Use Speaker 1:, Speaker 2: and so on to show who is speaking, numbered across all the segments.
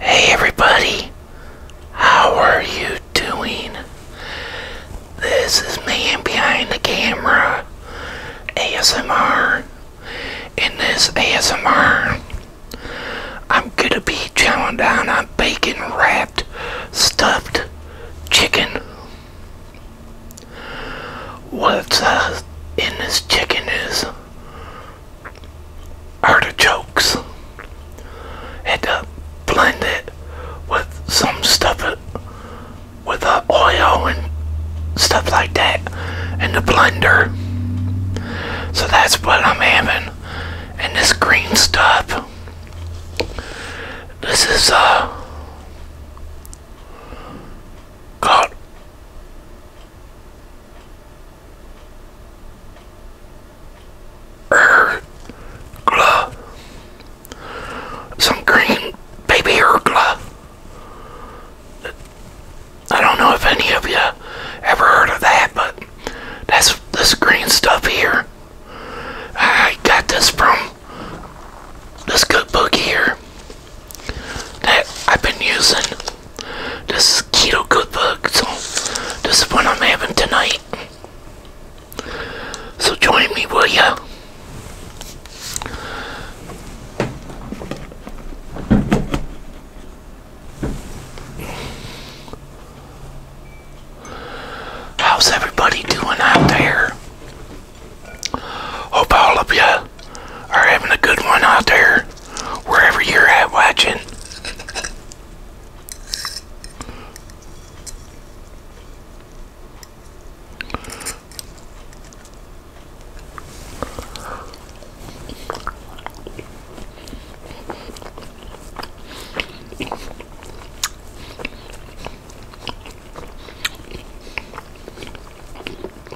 Speaker 1: Hey everybody, how are you doing? This is me Behind the Camera ASMR. In this ASMR, I'm gonna be chowing down on bacon wrapped stuffed chicken. What's uh, in this chicken is artichokes and uh, blend it with some stuff uh, with uh, oil and stuff like that in the blender. So that's what I'm having. And this green stuff. This is uh, called Ergla. Some green baby ergla. I don't know if any of you ever heard of that, but that's this green stuff here. I got this from this good book here that I've been using this is keto good book, so this is what I'm having tonight. So join me, will you? How's everybody doing out there? Hope all of you are having a good one out there wherever you're at watching.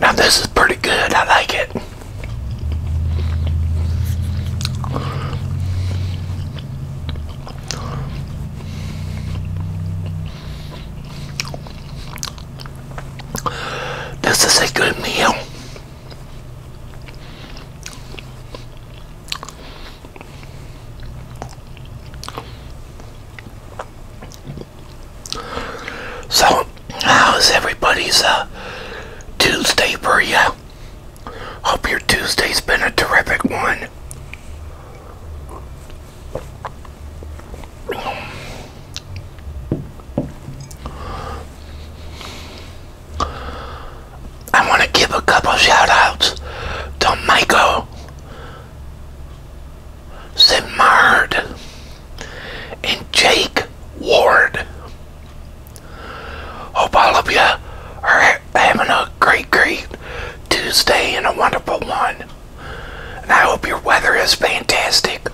Speaker 1: Now this is pretty good. I like it. This is a good meal. So, how's everybody's uh, Tuesday for you? Hope your Tuesday's been a terrific one. I want to give a couple shout outs to Michael Sinmard and Jake Ward. Hope all of you are having a great, great Tuesday and a wonderful one. And I hope your weather is fantastic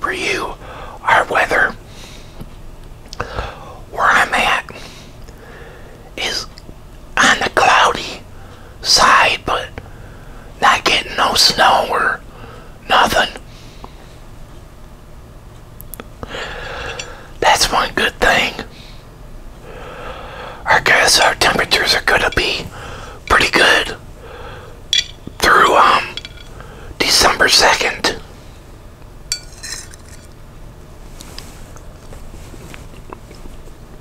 Speaker 1: for you. Our weather, where I'm at, is on the cloudy side, but not getting no snow or nothing. That's one good thing. I guess our temperatures are gonna be pretty good through um December 2nd.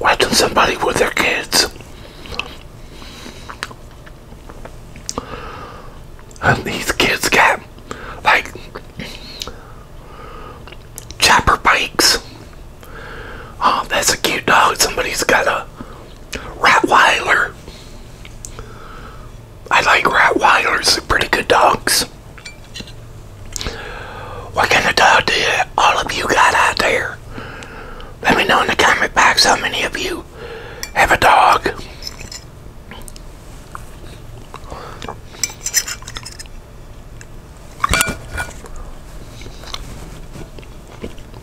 Speaker 1: Watching somebody with their kids. And these kids got like chopper bikes. Oh, that's a cute dog. Somebody's got a Rottweiler. I like Rottweilers, they're pretty good dogs. What kind of dog do you, all of you got out there? Let me know in the comment box how many of you have a dog.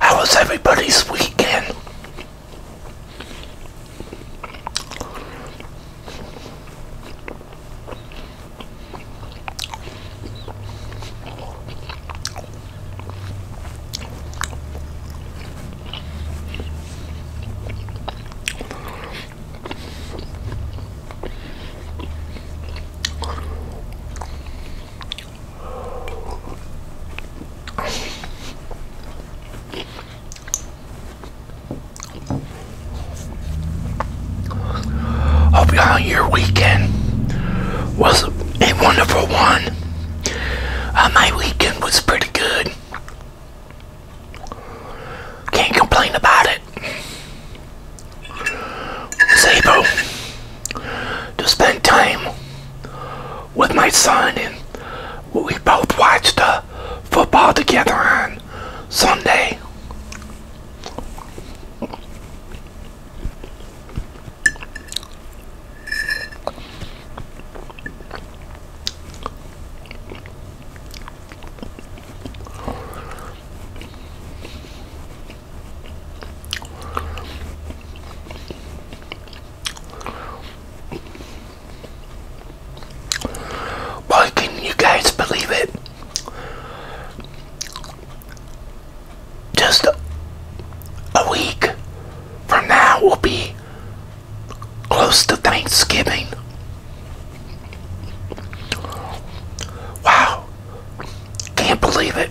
Speaker 1: How was everybody's weekend? Hope y'all your weekend was a wonderful one. Uh, my weekend was pretty good. Can't complain about it. Was to spend time with my son and we both watched the football together on Sunday. Boy, can you guys believe it? Just a week from now will be close to Thanksgiving. Wow, can't believe it.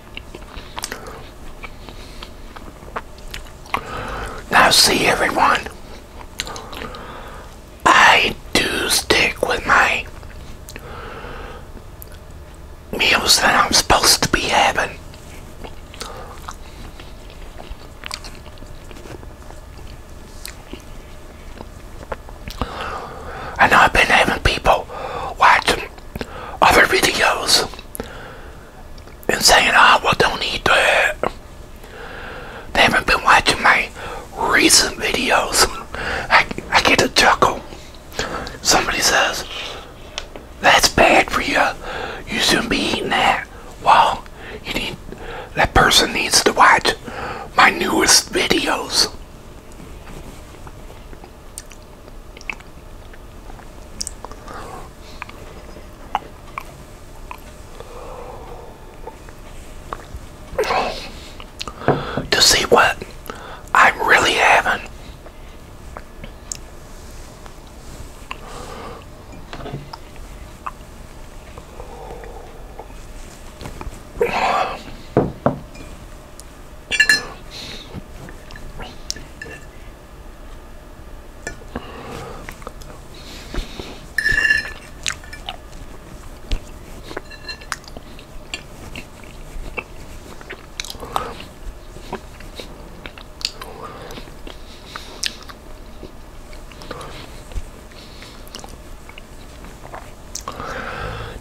Speaker 1: Now, see everyone, I do stick with my meals that I'm supposed to be having. I I've been having people watching other videos and saying, oh, well, don't eat that. They haven't been watching my recent videos. I, I get a chuckle. Somebody says, that's bad for you. You shouldn't be eating that. Well, you need, that person needs to watch my newest videos to see what I'm really having.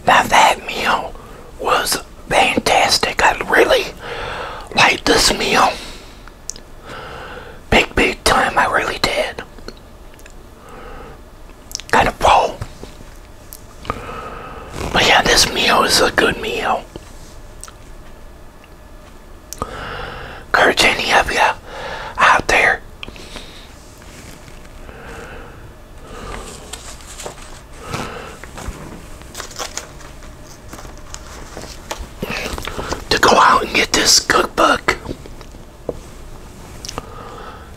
Speaker 1: Now that meal was fantastic. I really liked this meal. Big, big time. I really did. Kind of full. But yeah, this meal is a good meal. Encourage any of you out there to go out and get this cookbook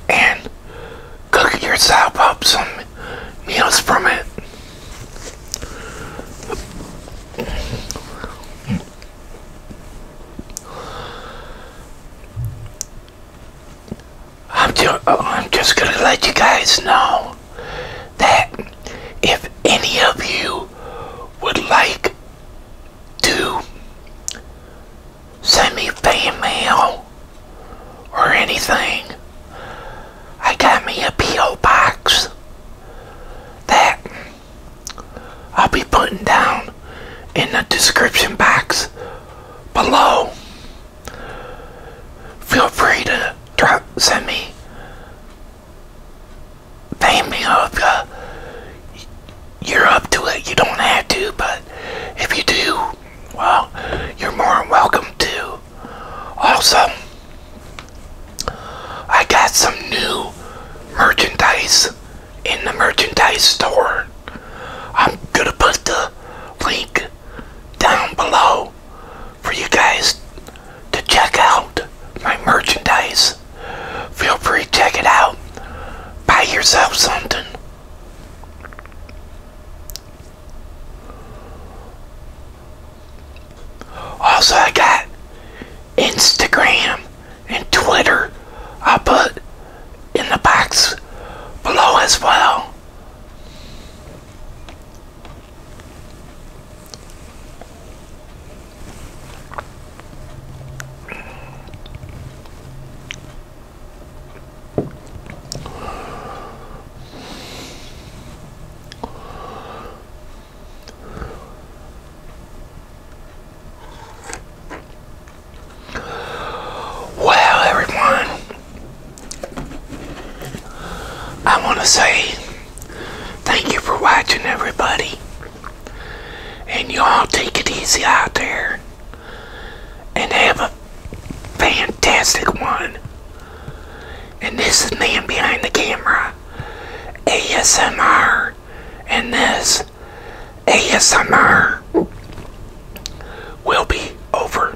Speaker 1: and cook yourself up some meals from it. Oh, I'm just, going to let you guys know that if any of you would like to send me fan mail or anything, I got me a P.O. box that I'll be putting down in the description box below. Feel free to drop, send me, pay me off. Uh, you're up to it. You don't have to, but if you do, well, you're more than welcome to. Also, I got some new merchandise in the merchandise store. I'm gonna put the link down below for you guys to check out my merchandise. Feel free to check it out. Buy yourself something. Also, I got Instagram and Twitter. I'll put in the box below as well. Well, everyone, I want to say thank you for watching, everybody. And you all take it easy out there. And have a fantastic one. And this is Man Behind the Camera, ASMR, and this ASMR will be over.